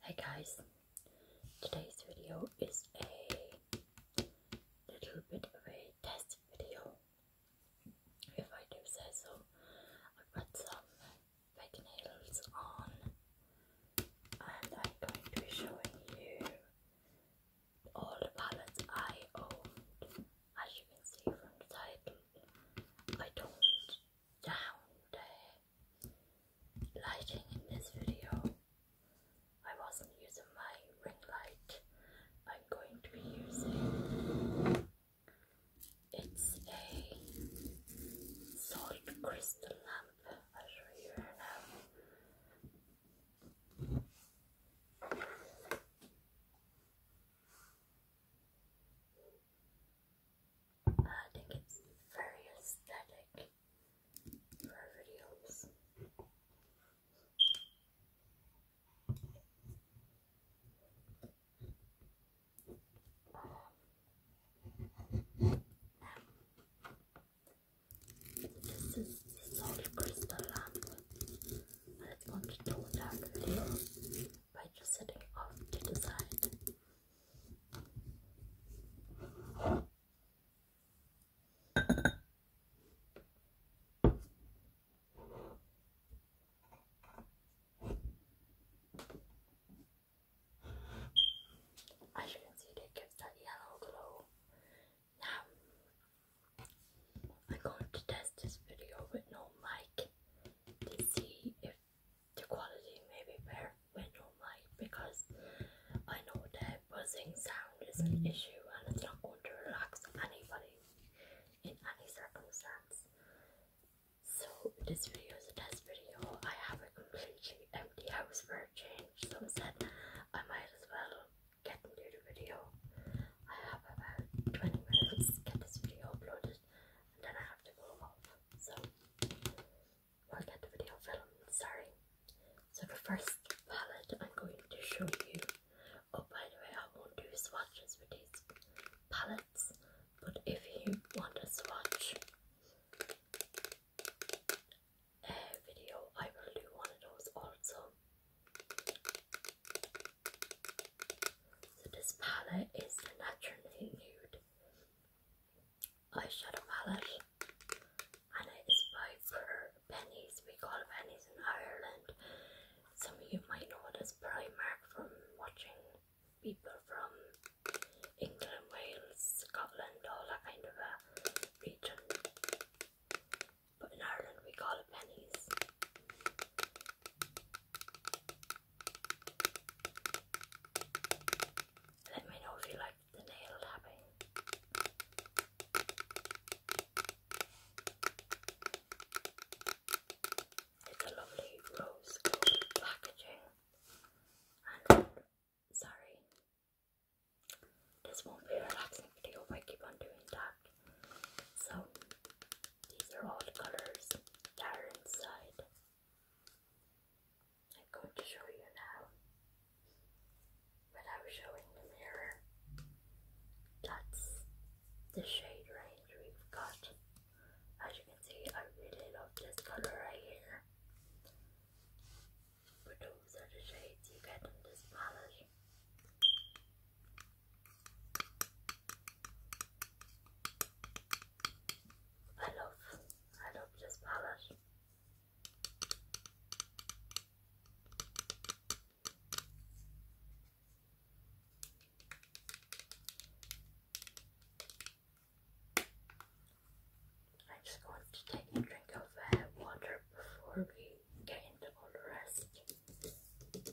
Hey guys, today's video is a little bit of a test video, if I do say so. I've got some fake nails on, and I'm going to be showing you all the palettes I own. As you can see from the title, I don't down there lighting in this video. I wasn't using my ring light. I'm going to be using it's a salt crystal lamp. I'll show you now. I think it's very aesthetic for videos. this is the solid crystal lamp that's going to tone down the by just setting off the side. As can see, it gives that yellow glow. Now, I'm going to test this video with no mic to see if the quality may be better with your mic because I know that buzzing sound is an issue and it's not going to relax anybody in any circumstance. So this video is a test video. I have a completely empty house for a change, so I said I might as well get into the video. I have about 20 minutes to get this video uploaded then I have to go off. So we the video filmed, sorry. So the first palette I'm going to show you oh by the way I won't do swatches with these palettes but if you want a swatch uh, video I will do one of those also so this palette is the Naturally Nude eyeshadow palette and it is by for We call it in Ireland. Some of you might know it as Primark from watching people from England, Wales, Scotland, all that kind of a region. But in Ireland we call it pennies. Let me know if you like the nail tapping. It's a lovely rose packaging. sorry, this won't be a relaxing video if I keep on doing that. So these are all the colors that are inside. I'm going to show you now without showing the mirror. That's the shade range we've got. As you can see, I really love this color right here. But those are the shades you get in this palette. I love, I love this palette. I'm just going to take a drink of water before we get all the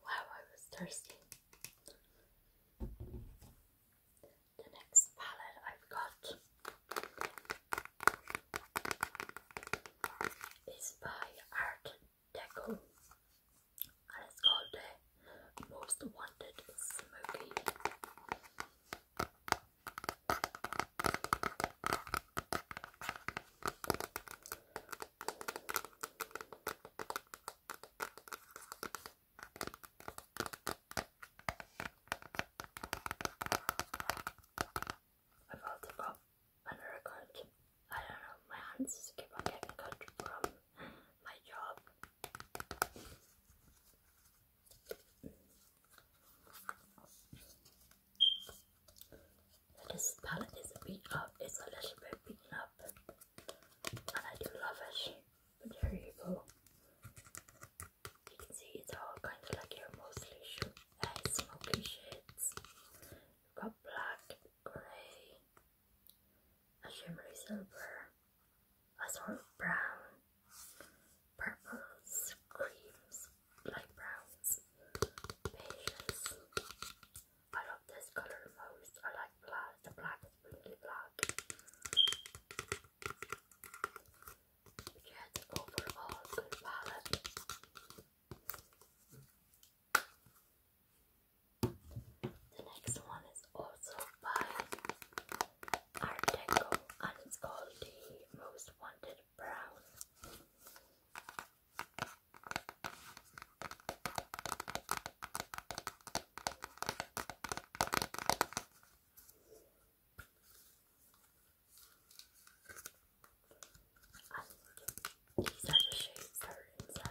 Wow, I was thirsty. The next palette I've got is by Art Deco and it's called the Most Wanted Smoky. I'm about to go undercoat. I don't know, my hands keep on getting cut from my job. This palette is beat up, uh, it's a little bit beaten up and I do love it. But there you go. You can see it's all kind of like your mostly uh, smoky shades. You've got black, grey, a shimmery silver, a sort of brown, purples, creams, light browns, beiges, I love this color most. I like black. The black is really black. Yeah, overall good palette. The next one is also by Art Deco and it's called the Most Wanted Brown. And these are the shapes that are inside.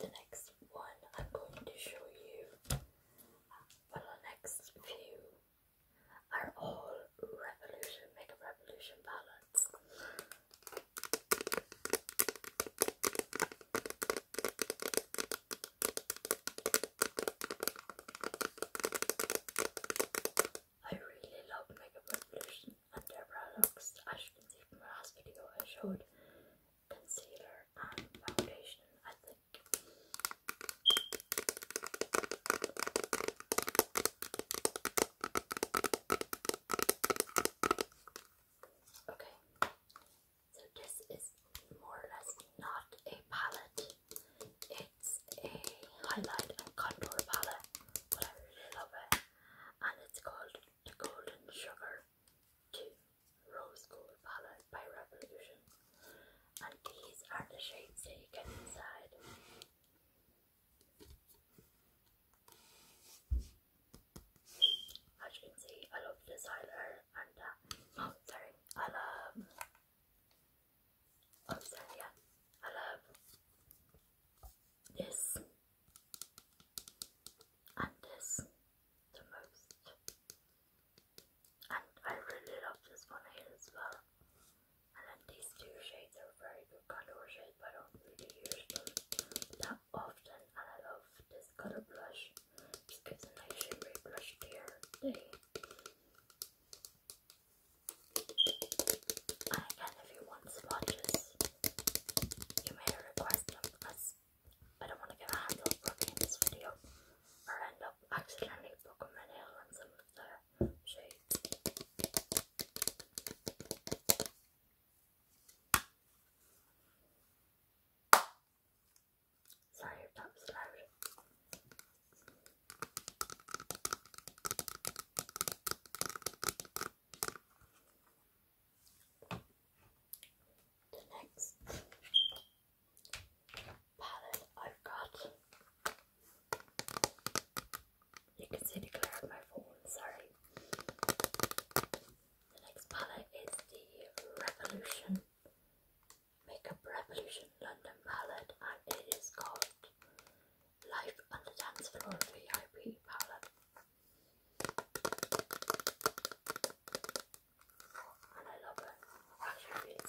the next one I'm going to show you, well the next few are all Revolution, Mega Revolution palettes. I really love Mega Revolution and As you can see from my last video I showed concealer and foundation, I think. Okay, so this is more or less not a palette, it's a highlight and contour palette, but I really love it, and it's called the Golden Sugar to rose gold palette by Revolution. And these are the shades that you get inside. As you can see, I love this highlighter and Oh, sorry, I love. Oh, sorry, yeah, I love this and this the most. And I really love this one here as well. And then these two shades are very good color shades, but I don't really use them that often. And I love this color blush. Just gives a nice shimmery blush here. And if you want swatches, you may request them as I don't want to get a handle broken in this video or end up accidentally poking my nail on some of the shades. Sorry if that the next palette I've got. You can see the colour of my phone, sorry. The next palette is the Revolution Makeup Revolution London palette and it is called Life on Dance Floor VIP palette. And I love it. Actually, really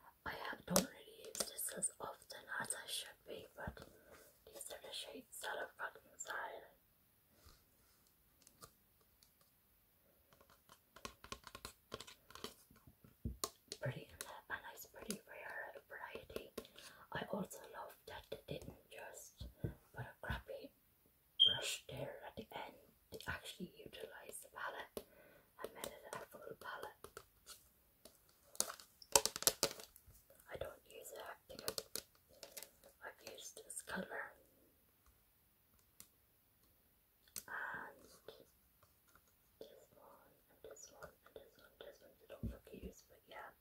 Oh, I don't really use this as often as I should be, but these are the shades that I've got inside. Pretty a nice, pretty rare variety. I also love that they didn't just put a crappy brush there at the end. They actually utilize the palette and made it a full palette. I don't use it, I think I've, used this colour and this one and one and one, this one they do but yeah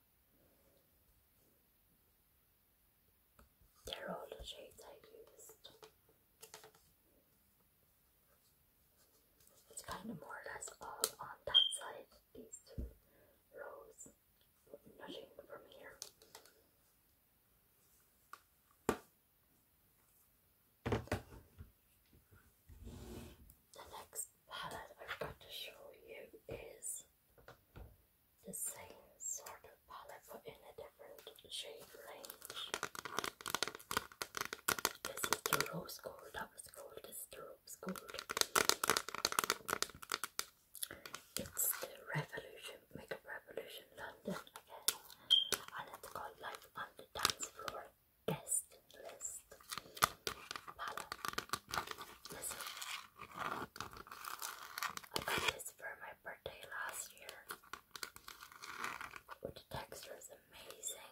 they're all the shades I used it's kind of more or less all on that side, these two rows, nothing from here. The next palette I've got to show you is the same sort of palette but in a different shade range. This is the rose gold that that called a stirrup school. It's the revolution, makeup revolution London again. And it's called Life on the Dance Floor Guest List Palette. Listen. I got this for my birthday last year. the texture is amazing.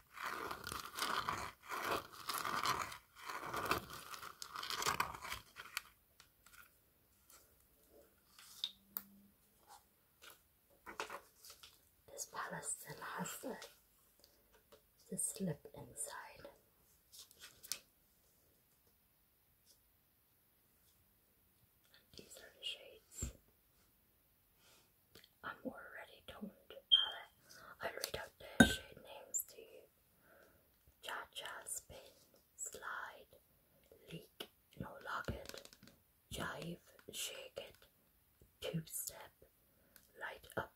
This palace still has the, the slip inside. These are the shades. I'm already torn about it. I read out their shade names to you. Cha-cha, spin, slide, leak, no lock it, jive, shake it, two-step, light up,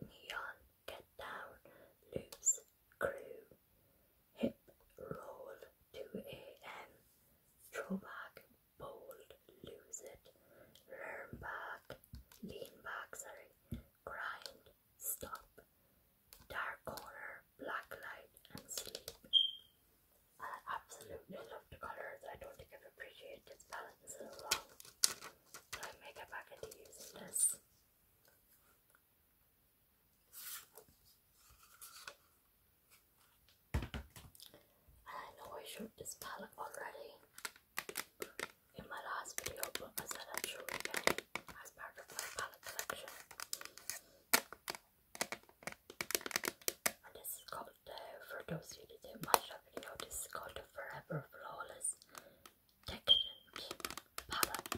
neon, get down, loose, crew, hip, roll, 2 a.m., throwback, bold, lose it, learn back, lean back, sorry, grind, stop, dark corner, black light, and sleep. I absolutely love the colours. I don't think I've appreciated this palette in long. So I may get using this. I know I showed this palette already, in my last video, I said I'd show again as part of my palette collection. And this is called, uh, for those Who you that didn't watch that video, this is called the Forever Flawless Decadent Palette.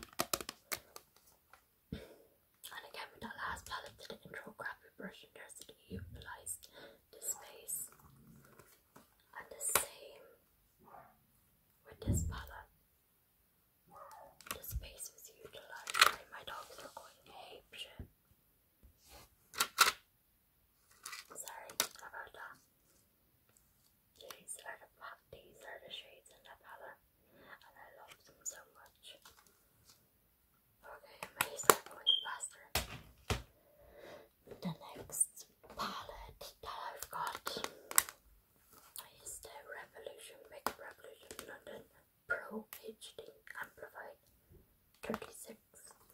and again, with that last palette to the intro graphic version, there's the utilized this face and the same with this palette. The space was utilized my dogs are going apeshit. Sorry about that. These are the these are the shades in the palette and I love them so much. Okay, amazing the next palette that I've got is the Revolution Make Revolution London Pro HD Amplified 36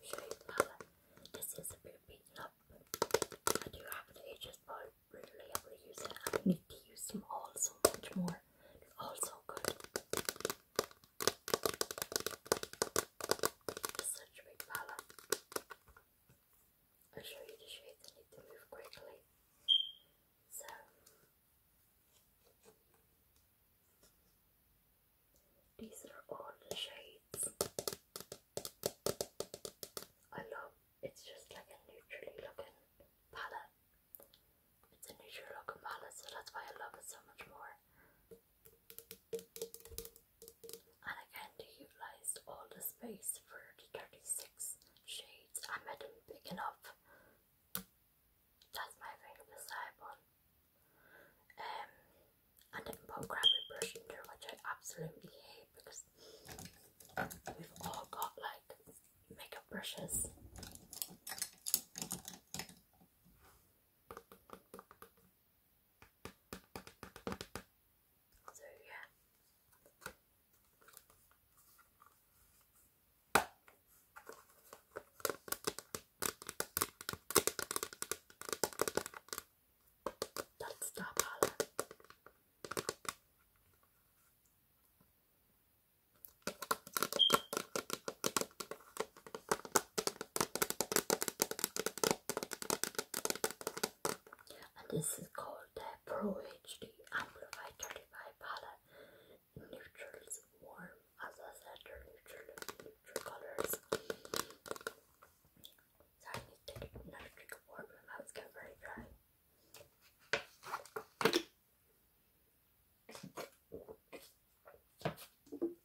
shade palette. This is a bit beaten up. I do have the ages, but I really use it. I need to use them all so much more. all so good. Such a big palette. I'll show you the shades. I need to move quickly. So. These are all the shades. I love it's just like a neutrally looking palette. It's a neutral looking palette, so that's why I love it so much more. Anacanda utilized all the space for the 36 shades. I made them big enough. That's my finger beside one. Um, and then put crappy brush in there, which I absolutely hate because we've all got like makeup brushes. So yeah. That's the color. And this is called the Pro HD Amplified 35 palette. Neutrals, warm, as I said, they neutral, colors. I need to drink water, my mouth's getting very dry.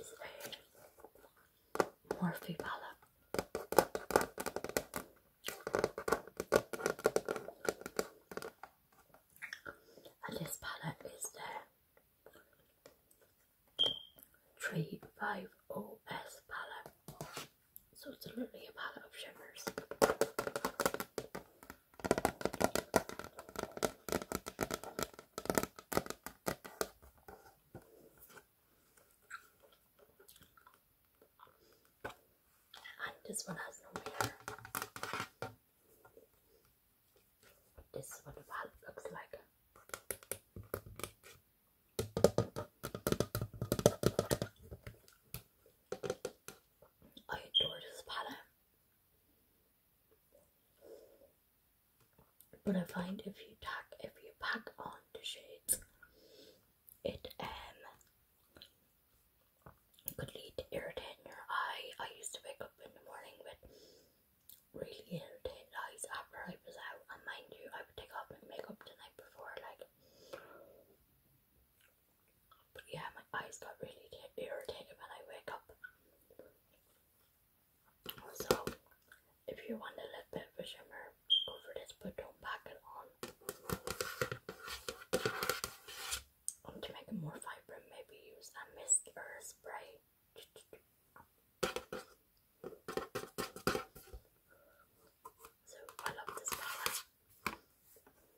is a Morphe palette. And this palette is the 350S palette. So it's a palette of shimmers. And this one has no mirror. This is what the valve looks like. I adore this palette. But I find if you tack if you pack on the shades, it um could lead to irritating your eye. I used to wake up in the morning with really irritated eyes after I was out, and mind you, I would take off my makeup the night before, like. But yeah, my eyes got really irritated when I wake up. So, if you want a little bit of shimmer, go this, but don't pack it on. Um, to make it more vibrant, maybe use a mist or a spray. So, I love this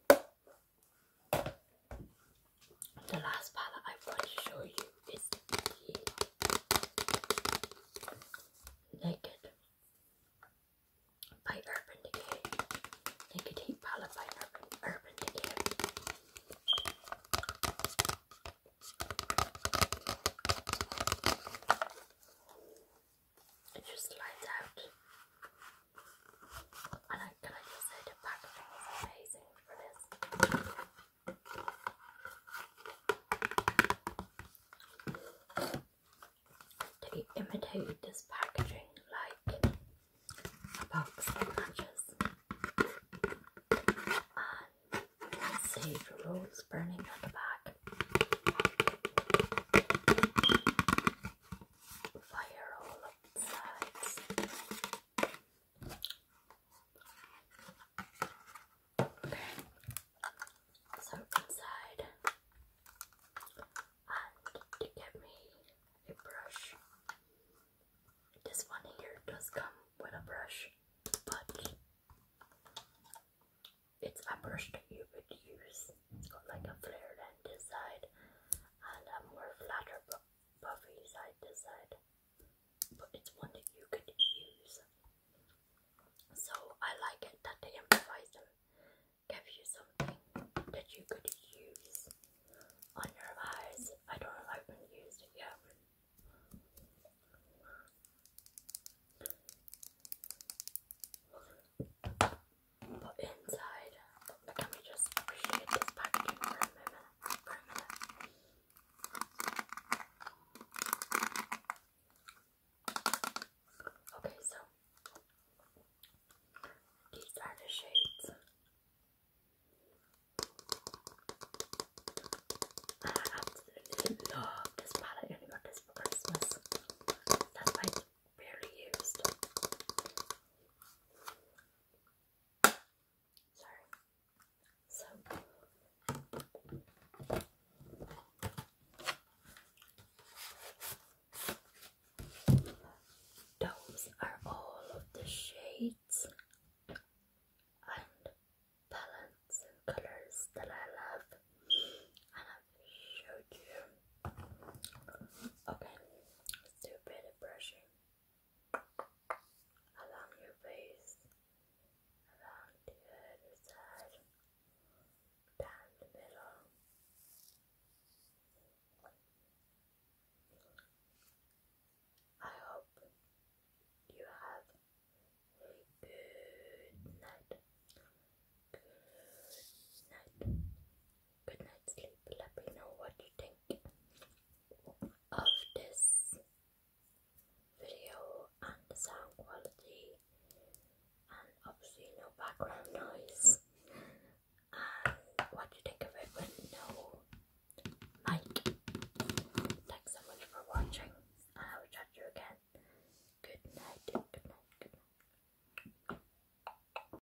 palette. The last palette I want to show you is the Naked by Urban Decay. Naked Heat Palette by Urban, Urban Decay. just slides out, and I like, this? They imitated this packaging like a box of matches and sage rolls burning on the back. Fire all sides so inside, to get me a brush. This one here does come with a brush, but it's a brush that you would use. It's got like a flared end inside and a more flatter puffy side to side, but it's one that you could use. So I like it that the improviser gave you something that you could use on your eyes. I don't know if I've used it yet. But inside let me just appreciate this packaging for a moment. For a minute. Okay, so these are the shades. I absolutely love this palette. I only got this for Christmas. That's why it's barely used. Sorry. So those are all of the shades and palettes and colors that I love and I've showed you. Okay, let's do a bit of brushing along your face, along the side, down the I hope you have a good night. Good night good night's sleep. Let me know what you think of this video and the sound quality and obviously no background noise and what you think of it with no mic. Thanks so much for watching I will chat you again. Good night, good night, good night.